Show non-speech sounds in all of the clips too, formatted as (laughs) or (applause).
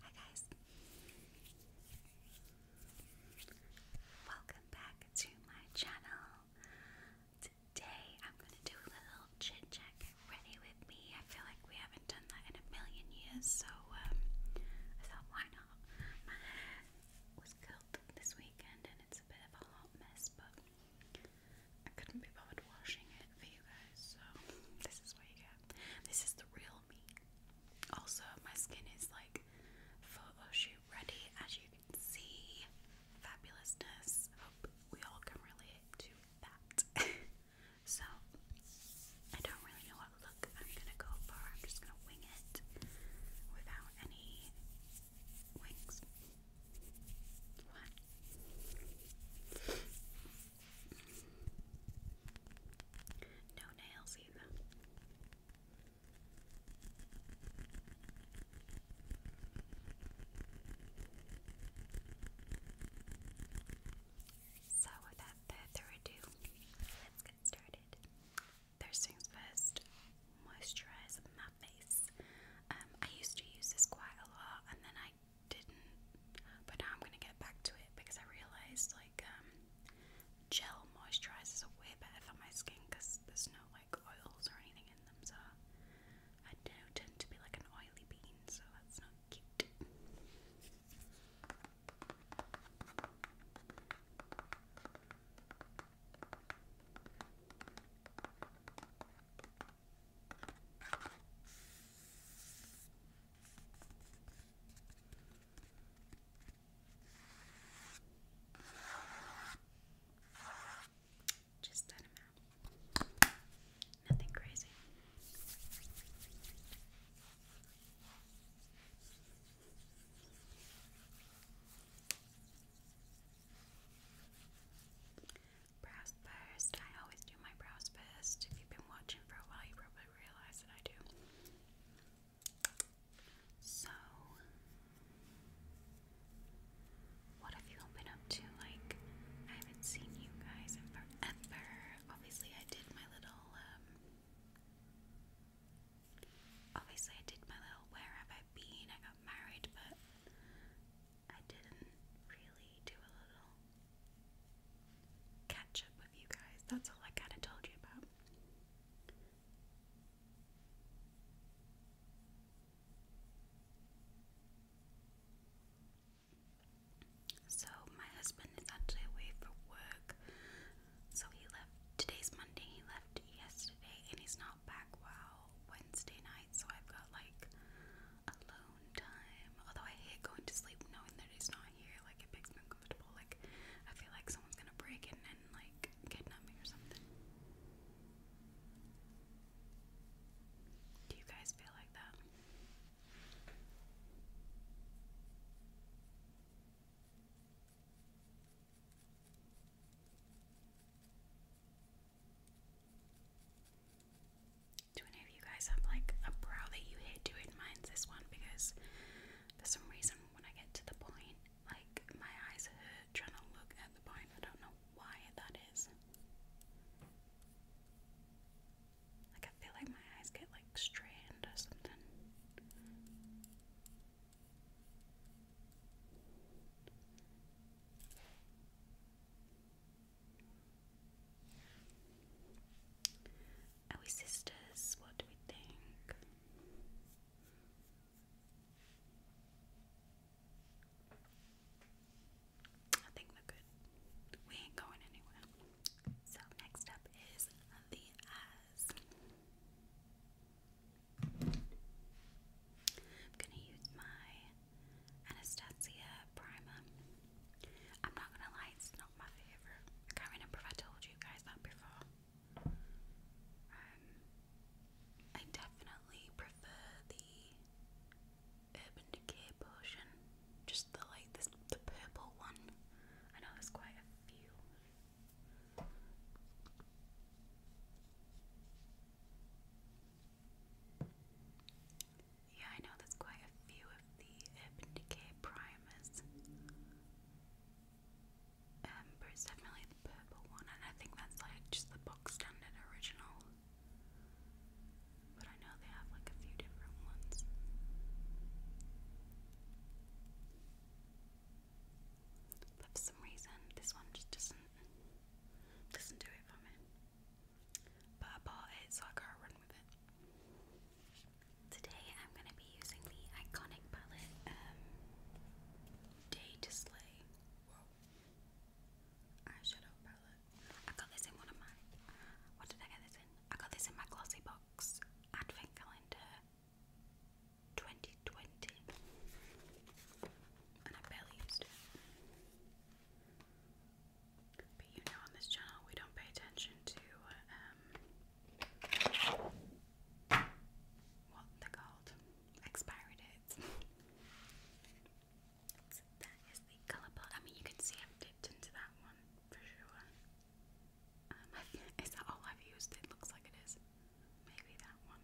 Hi guys. Welcome back to my channel. Today I'm going to do a little chit chat. ready with me. I feel like we haven't done that in a million years, so um, I thought why not? My hair was curled this weekend and it's a bit of a hot mess, but I couldn't be bothered washing it for you guys, so this is this is the real me. Also, my skin is like photo shoot ready, as you can see. Fabulousness. we all can relate to that. (laughs) so, I don't really know what look I'm gonna go for. I'm just gonna wing it without any wings. No nails either. So, without further ado, let's get started. First things first, moisturize my face. Um, I used to use this quite a lot, and then I I didn't, but now I'm gonna get back to it because I realized like um, gel moisturizers are way better for my skin because there's no like oils or anything in them. So I do tend to be like an oily bean, so that's not cute. Just that amount. Nothing crazy. Brows first. I always do my brows first. If you've been watching for a while, you probably realize that I do. So, what have you been up to? Like, I haven't seen you guys in forever. Obviously, I did my little, um, obviously, I did my little where have I been? I got married, but I didn't really do a little catch up with you guys. That's all I kind of told you about. So, my husband is actually away for work. So, he left today's Monday, he left yesterday, and he's not back well Wednesday night so I've got like alone time. Although I hate going to sleep knowing that he's not here, like it makes me uncomfortable. Like I feel like someone's gonna break in and like kidnap me or something. Do you guys feel like that? Do any of you guys have like a brow that you hate doing? Mine's this one because for some reason when I get to the point, like my eyes hurt trying to look at the point. I don't know why that is. Like I feel like my eyes get like strained or something. Are we sisters? What do we think? I think we're good. We ain't going anywhere. So, next up is the eyes. I'm gonna use my Anastasia primer. I'm not gonna lie, it's not my favourite. can't remember if I told you guys that before. Um, I definitely prefer the Urban Decay potion, just the like the purple one. I know there's quite a few. Yeah, I know there's quite a few of the Urban Decay primers. Amber um, is definitely the purple one, and I think that's like just the box standard original. But I know they have like a few different ones. But for some reason, this one just doesn't doesn't do it for me but I bought it so I gotta run with it. Today I'm gonna be using the iconic palette um, Day to Slay. Eyeshadow palette. I got this in one of my what did I get this in? I got this in my glossy box advent calendar 2020 and I barely used it. But you know, on this channel, we don't pay attention to um, what they're called expiry (laughs) so that is the colour palette. I mean, you can see I've dipped into that one for sure. Um, (laughs) is that all I've used? It looks like it is. Maybe that one.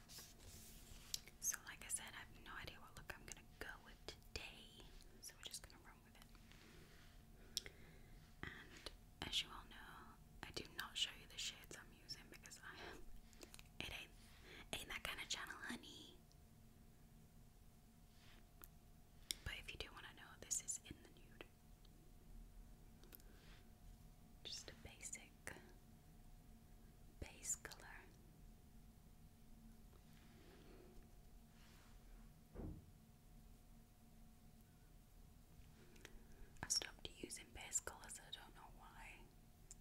So, like I said, I have no idea what look I'm gonna go with today, so we're just gonna run with it. And as you all know, I do not show you the shades I'm using because I it ain't ain't that kind of channel, honey. But if you do want to know, this is in the nude. Just a basic base color. I stopped using base colours, I don't know why,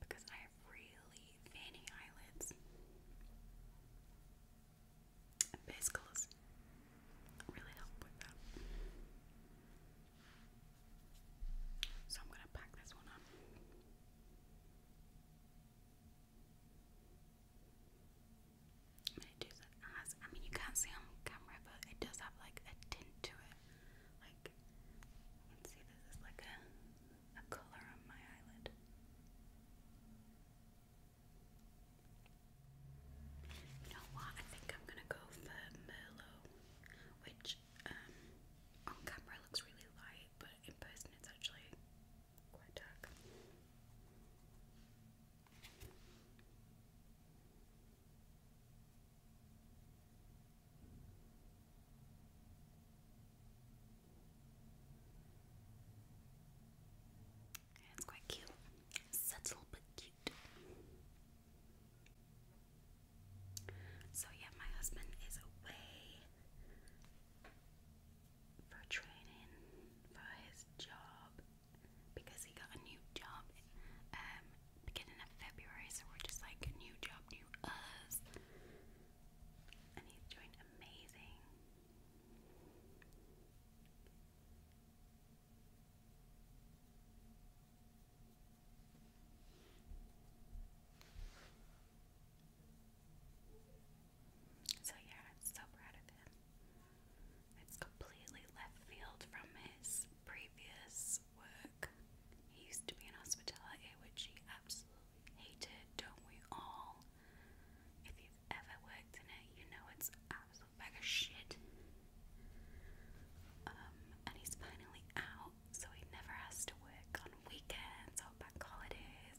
because I have really veiny eyelids. base colours really help with that. So I'm going to pack this one on it does, has, I mean, you can't see on camera, but it does have like a tint to it. Like, you can see this is like a, a colour on my eyelid. You know what? I think I'm gonna go for Merlot, which um, on camera looks really light light, but in person it's actually quite dark. it's quite cute. Subtle but cute. So, yeah, my husband is away for training for his job because he got a new job um, beginning of February, so we're just like new job, new us. And he's doing amazing. So, yeah, I'm so proud of him. It's completely left field from his previous work. He used to be in hospitality, which he absolutely hated, don't we all? If you've ever worked in it, you know it's absolute bag of shit. Um, and he's finally out so he never has to work on weekends or bank holidays,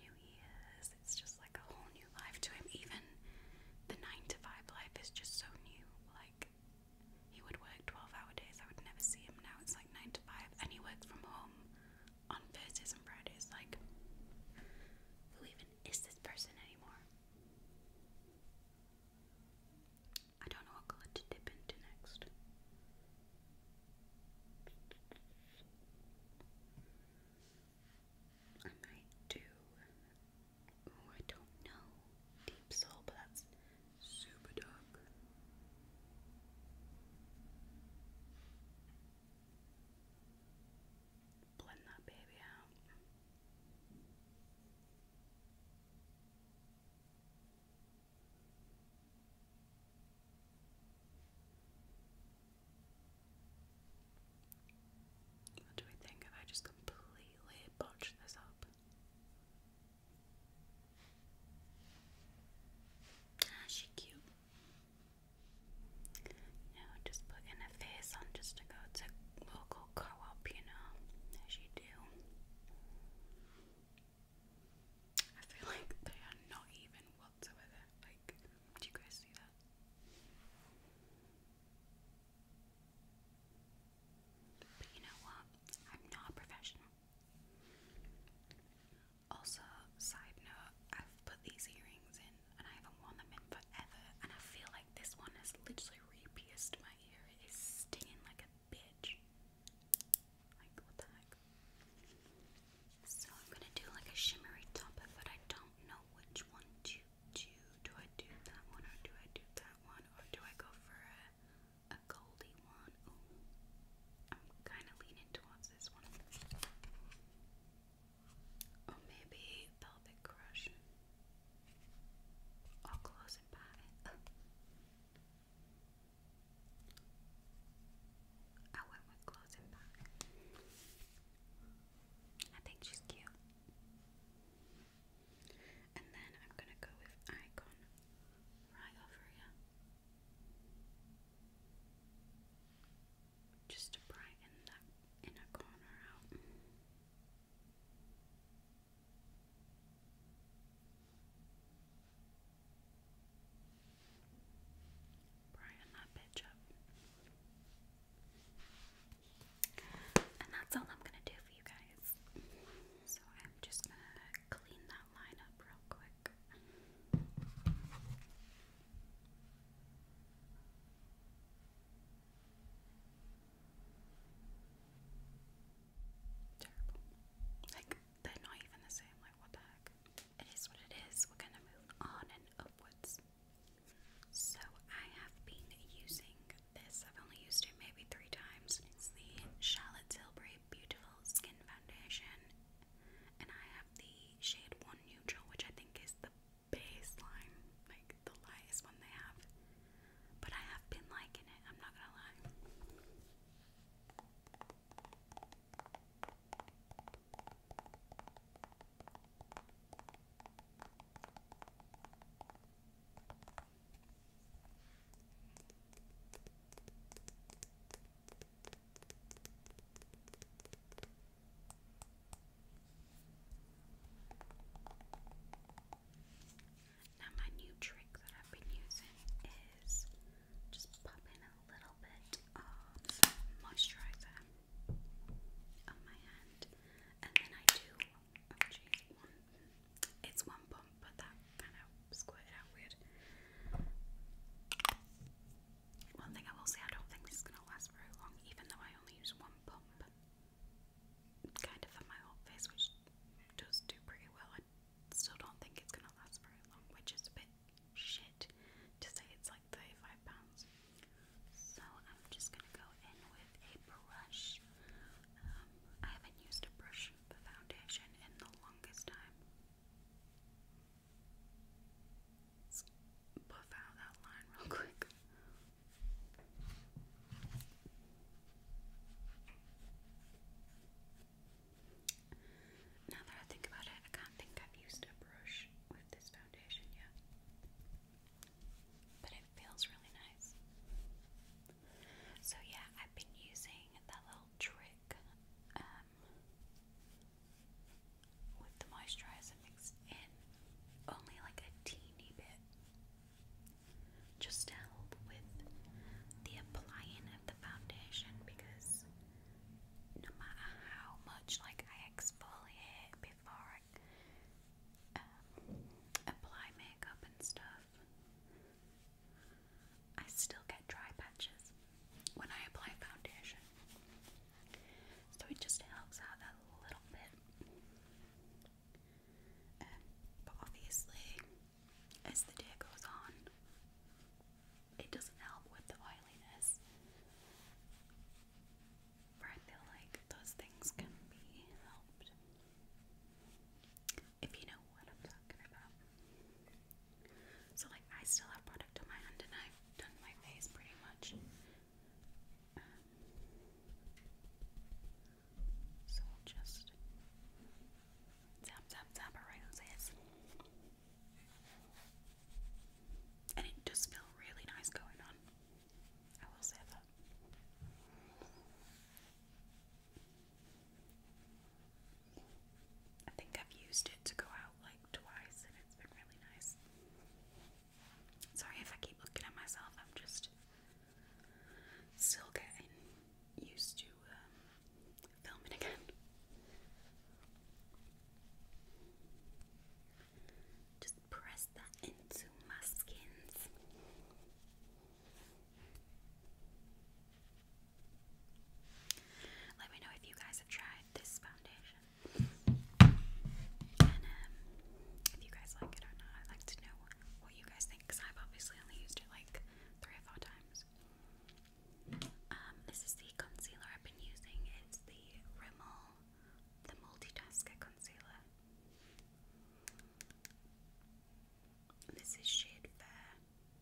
New Year's. It's just like a whole new life to him. Even the 9 to 5 life is just so new. Like, he would work 12 hour days, I would never see him now. It's like 9 to 5, and he works from home on Thursdays and Fridays. Like, who even is this person anymore? I don't know what color to dip into next. I might do. Oh, I don't know. Deep soul, but that's super dark. Blend that baby out. What do we think if I just completely botch this up? Ah, she cute. Now just put in a face on just to go to local co-op, you know, as you do. I feel like they are not even whatsoever. Like, do you guys see that? But you know what? I'm not professional. Also, side note, I've put these earrings in and I haven't worn them in forever, and I feel like this one has literally re-pierced my ear. It is stinging like a bitch. So I'm gonna do like a shimmery top, but I don't know which one to do. Do I do that one or do I do that one? Or do I go for a, a goldy one? I'm kind of leaning towards this one. Or maybe Velvet Crush. Or Close and Patty. (laughs) I went with clothes and back. I think she's cute. And then I'm gonna go with Icon right Just to brighten that inner corner out. Brighten And that's all I'm gonna do for you guys. So I'm just gonna clean that line up real quick. Terrible. Like, they're not even the same. Like, what the heck? It is what it is. We're gonna move on and upwards. So, I have been using this. I've only used it maybe three times. It's the Charlotte Tilbury Beautiful Skin Foundation. And I have the shade 1 Neutral, which I think is the baseline, like the lightest one they have. But I have been liking it, I'm not gonna lie. Now, my new trick that I've been using is just pop a little bit of moisturizer on my hand, and then I do. Oh, it's one pump, but that kind of squirted out weird. One thing I will say, I don't think this is gonna last very long, even though I only use one pump kind of on my whole face, which does do pretty well. I still don't think it's gonna last very long, which is a bit shit to say it's like thirty-five pounds. So I'm just gonna go in with a brush. Um, I haven't used a brush for foundation in the longest time. buff out that line real quick. Now that I think about it, I can't think I've used a brush with this foundation yet. But it feels really nice. So, yeah, I've been using that little trick um, with the moisturizer mixed in only like a teeny bit just to help with the applying of the foundation because no matter how much like I exfoliate before I um, apply makeup and stuff, I still get dry patches when I apply foundation. So it just helps out a little bit. Um, but obviously, as the day goes on, it doesn't help with the oiliness. But I feel like those things can be helped. If you know what I'm talking about. So, like, I still have product on my hand and I've done my face pretty much. Um, so just tap, tap, tap around this. And it does feel really nice going on. I will say that. I think I've used it to go out like twice and it's been really nice. Sorry if I keep looking at myself, I'm just Still getting used to um, filming again. Just press that into my skins. Let me know if you guys have tried this foundation. And um, if you guys like it or not, I'd like to know you guys think because I've obviously only used it like three or four times. Um, this is the concealer I've been using. It's the Rimmel, the Multitasker Concealer. This is shade Fair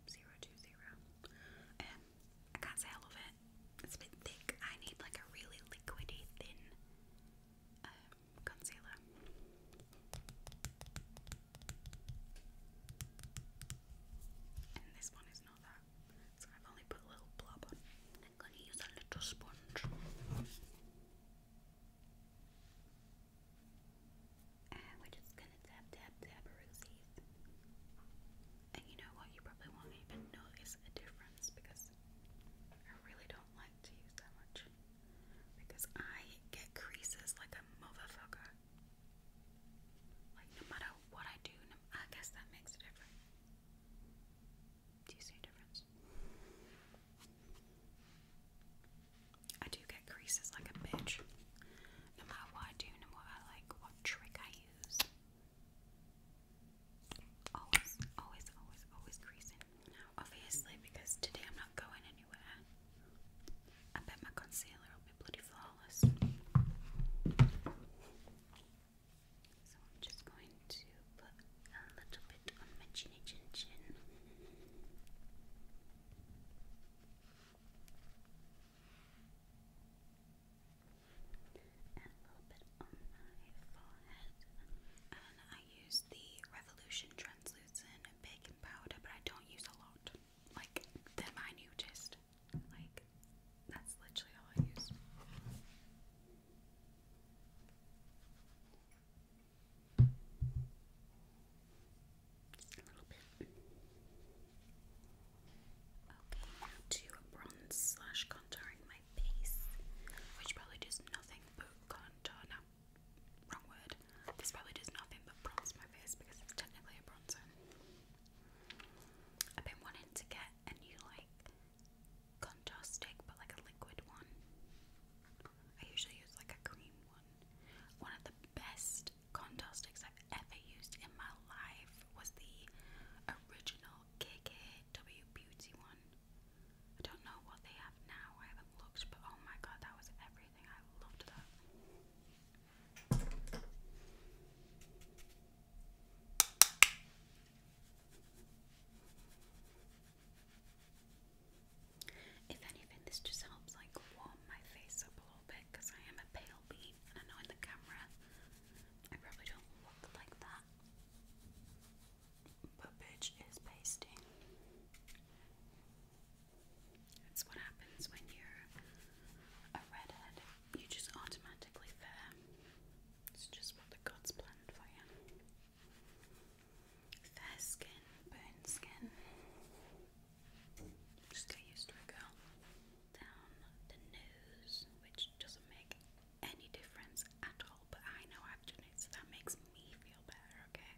zero two zero. Um, I can't say I love it. It's a bit thick. I need like a really liquidy thin um, concealer. And this one is not that, so I've only put a little blob on. I'm going to use a little sponge. And we're just going to tap, tap, tap our rosies. And you know what? You probably won't even notice a difference because I really don't like to use that much. Because I get creases like a motherfucker. Like, no matter what I do, I guess that makes a difference. Do you see a difference? I do get creases like a bitch. No matter what I do, no matter like what trick I use. Always, always, always, always creasing obviously, because today I'm not going anywhere, I bet my concealer will be bloody flawless. So I'm just going to put a little bit on my chinny chin chin. And a little bit I use the Revolution Translucent Baking Powder, but I don't use a lot. Like, they're my just Like, that's literally all I use. a little bit. Okay, now to bronze slash contouring face, which probably does nothing but contour. Uh, wrong word. This probably does nothing but bronze my face because it's technically a bronzer. I've been wanting to get a new like contour stick, but like a liquid one. I usually use like a cream one. One of the best contour sticks I've ever used in my life was the original KKW Beauty one. I don't know what they have now, I haven't looked, but oh my god, that was everything. I loved that. If anything, this just helps like warm my face up a little bit because I am a pale and I know in the camera I probably don't look like that. But bitch is pasting. That's what happens when you're a redhead. You just automatically fair. It's just what the gods planned for you. Fair skin, burnt skin. Just get used to it, girl. Down the nose, which doesn't make any difference at all, but I know I've done it, so that makes me feel better, okay?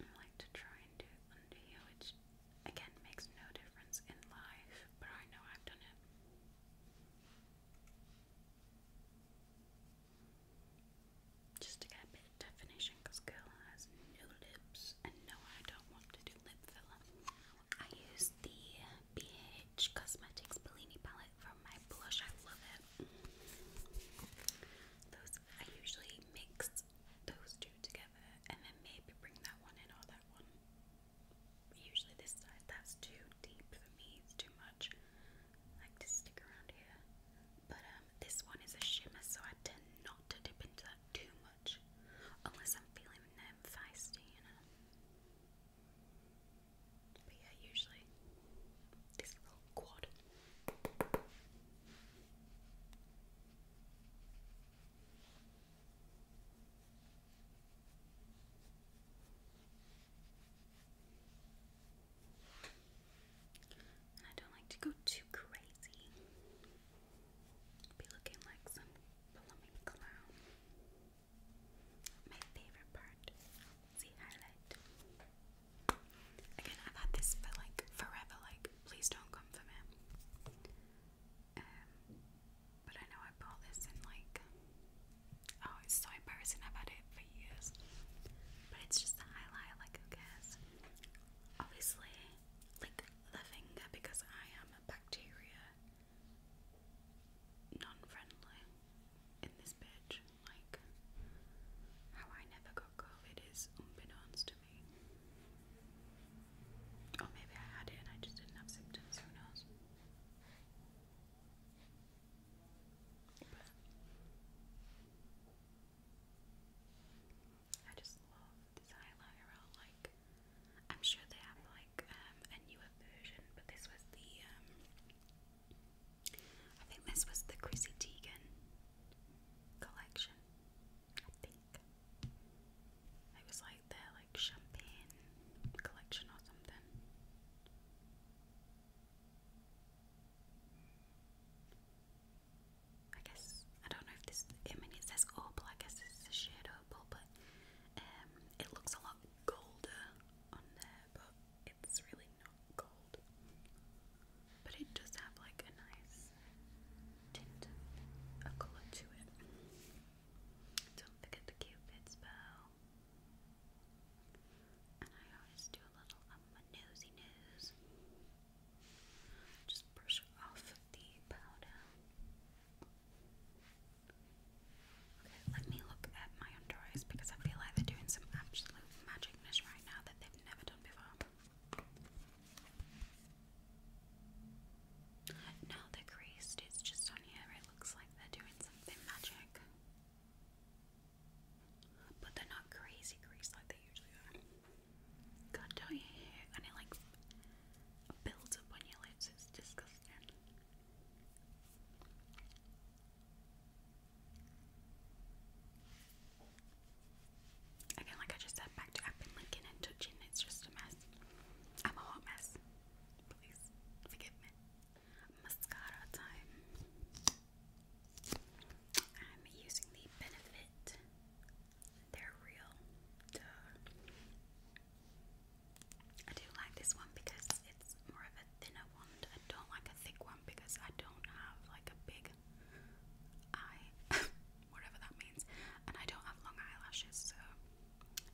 I like to try and do it under here, which again makes no difference in life, but I know I've done it. Just to get a bit of definition, because girl has no lips, and no, I don't want to do lip filler. I use the BH Cosmetics Bellini palette from my blush, I love it. Those I usually mix those two together, and then maybe bring that one in or that one. Usually this side, that's too deep for me, it's too much like to stick around here. But um, this one is a shimmer, so I tend not to dip into that too much, unless I'm feeling them feisty, you know. But yeah, usually this quad. I don't like to go too crazy. Be looking like some plumbing clown. My favorite part is highlight. Again, I've this for like forever. Like, please don't come for me. Um, but I know I bought this in like Oh, it's so embarrassing. about it for years. But it's just the highlight, like, who Obviously, like, the finger, because I am a bacteria non friendly in this bitch. Like, how I never got COVID is unbeknownst to me. Or maybe I had it and I just didn't have symptoms, who knows? I just love this highlighter. like. I'm sure they have like um, a newer version, but this was the. Um, I think this was the Chrissy Teigen collection. I think it was like their like champagne collection or something. I guess I don't know if this. I mean, it says opal. I guess it's a shade opal, but um, it looks a lot colder on there, but it's really not gold. But it does have like a nice tint, a colour to it. Don't forget the cupid spell. And I always do a little um, nosy nose. Just brush off the powder. Okay, let me look at my under eyes because I feel like they're doing some absolute magicness right now that they've never done before. Now they're creased, just on here, it looks like they're doing something magic. But they're not crazy greased like they usually are. God, don't you hear? And it like builds up on your lips. It's disgusting. Again, like I just said, back to I've been linking and touching. It's just a mess. I'm a hot mess. Please forgive me mascara time. I'm using the Benefit. They're real. Duh. I do like this one because it's more of a thinner one. I don't like a thick one because I don't have like a big eye, (laughs) whatever that means, and I don't have long eyelashes, so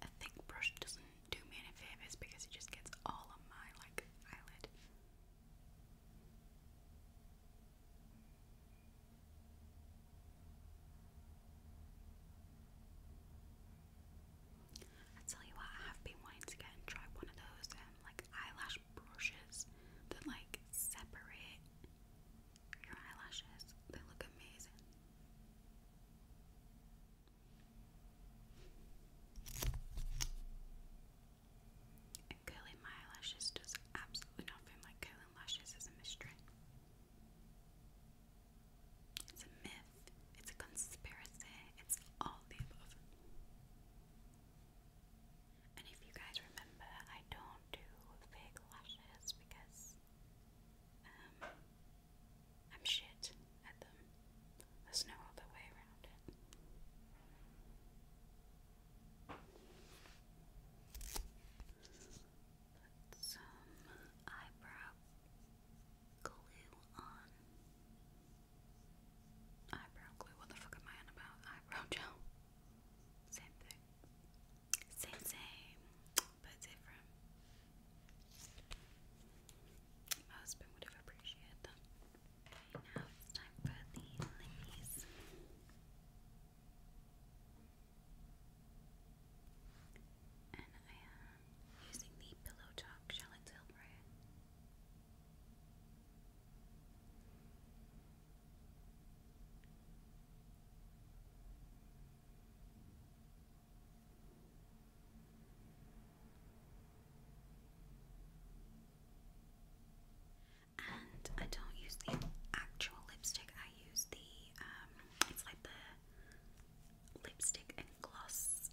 a thick brush doesn't do me any favors because it just gets all of my like eyelid. I tell you what, I have been wanting to get and try one of those um, like eyelash brushes that like separate your eyelashes. They look amazing. And my eyelashes does absolutely nothing like curling lashes is a mystery. It's a myth, it's a conspiracy, it's all the above. And if you guys remember, I don't do fake lashes because um, I'm shit at them. There's no other way around it. Put some eyebrow glue on. Eyebrow glue, what the fuck am I on about? Eyebrow gel. Same thing. Same, same, but different. My husband would have appreciated them. Okay, now it's time for the lilies. And I am using the Pillow Talk Charlotte Tilbury. And I don't use the actual lipstick, I use the, um, it's like the lipstick and gloss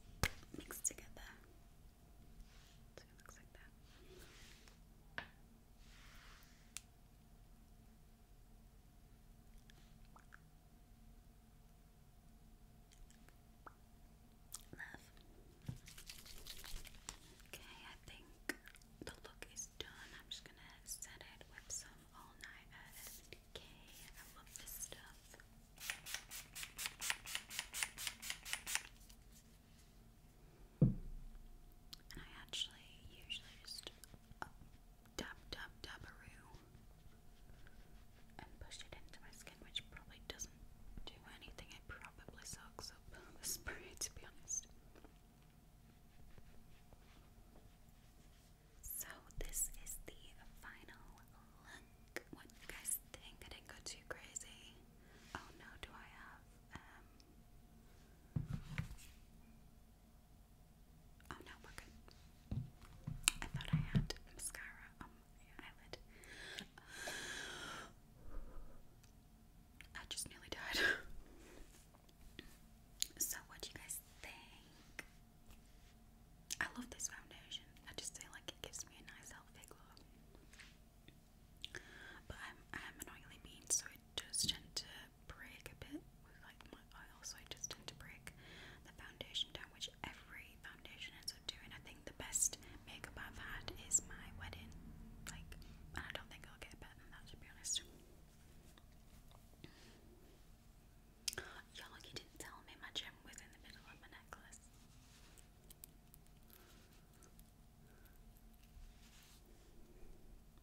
mixed together. So it looks like that. Love. Okay, I think the look is done. I'm just gonna set it with some all night SDK. I love this stuff. And I actually usually just oh, dab dab dabaroo and push it into my skin, which probably doesn't do anything. It probably sucks up (laughs) the spray, to be honest. So this is the final look. What do you guys think? I didn't go too crazy. Oh no, do I have um, Oh no, we're good. I thought I had mascara on my eyelid. I just nearly died. (laughs) so, what do you guys think? I love this foundation. I just feel like it gives me a nice, healthy glow. But I'm, I'm an oily bean, so it does tend to break a bit with like my oil, so I just tend to break the foundation down, which every foundation ends up doing. I think the best makeup I've had is my wedding, like, and I don't think I'll get better than that to be honest. Y'all, you didn't tell me my gem was in the middle of my necklace.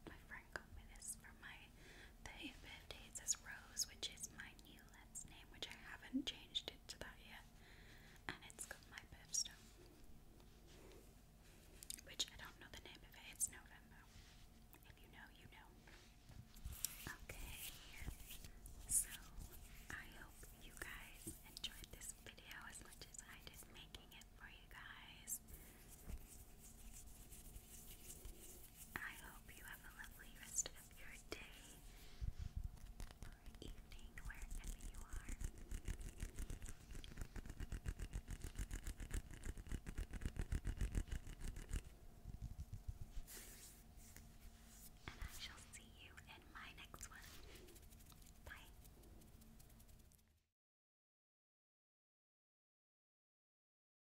My friend got me this from my the birthday says Rose, which is my new let name, which I haven't changed it to that yet. And it's got my birthstone. Which I don't know the name of it, it's November. If you know, you know. Okay, so I hope you guys enjoyed this video as much as I did making it for you guys. I hope you have a lovely rest of your day evening, wherever you are. And I shall see you in my next one. Bye.